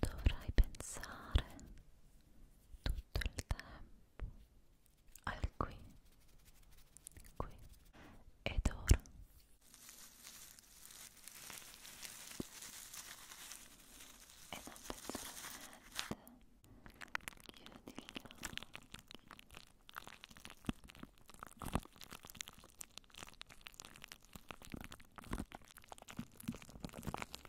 Dovrai pensare tutto il tempo al qui, qui ed ora. E non pensare a niente. Chiudi gli occhi mettiamo da questa parte e da questa parte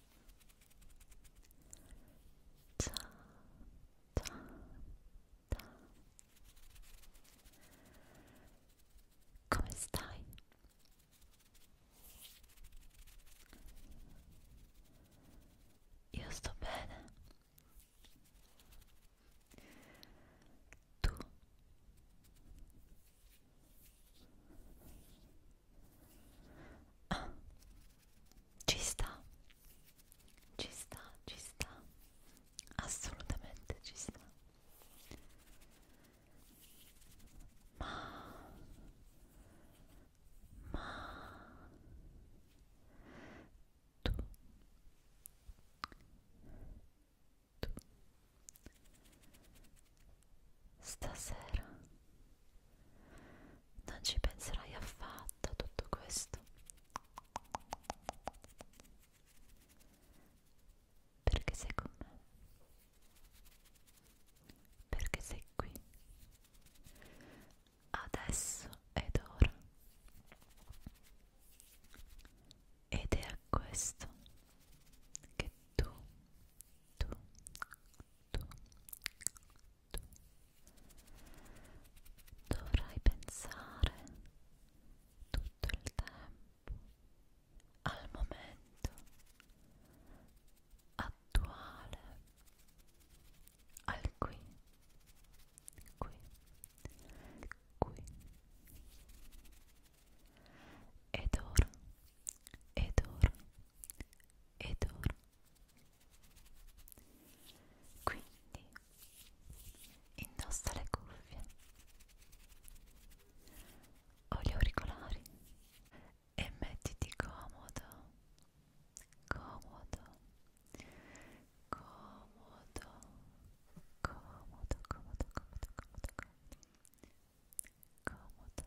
ciao ciao ciao come stai? io sto bene tu Ah, ci sta, ci sta, ci sta, assolutamente ci sta. Ma, ma tu, tu stasera non ci penserai affatto a tutto questo perché sei con me perché sei qui adesso ed ora ed è a questo che tu tu tu dovrai pensare tutto il tempo al momento attuale al qui qui qui ed ora ed ora ed ora quindi indossa le cuffie o gli auricolari e mettiti comodo, comodo, comodo, comodo, comodo, comodo, comodo, comodo, comodo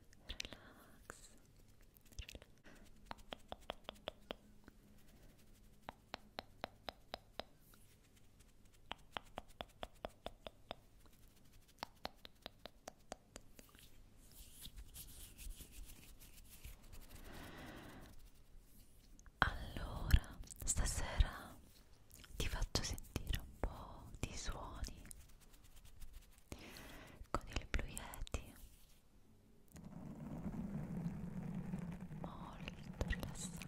relax allora stasera ti faccio sentire un po' di suoni con il Blue Yeti molto rilassante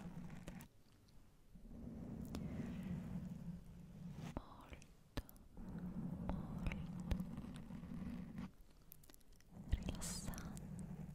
molto molto rilassante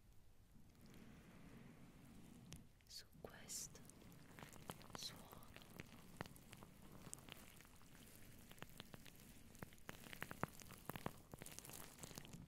su questo suono Rilassati e dormi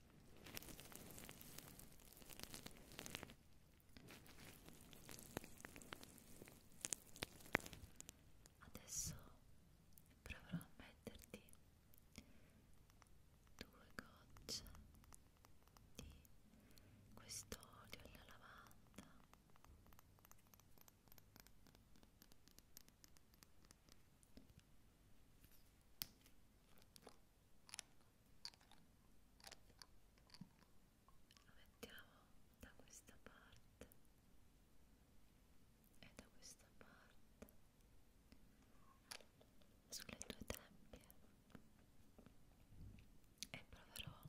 Adesso proverò a metterti due gocce di quest'olio alla lavanda lo mettiamo da questa parte e da questa parte sulle tue tempie e proverò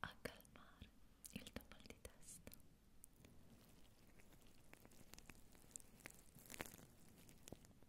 a calmare il tuo mal di testa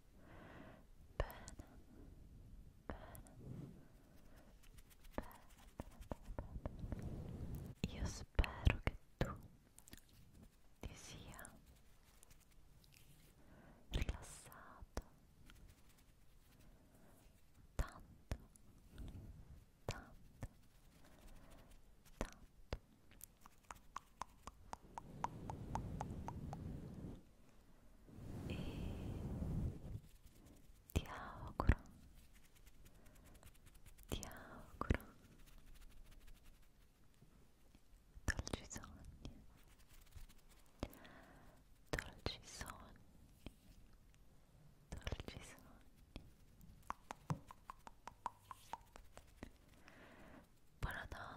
bene. Io spero che tu ti sia rilassato tanto tanto tanto e ti auguro ti auguro dolci sogni dolci sogni dolci sogni buonanotte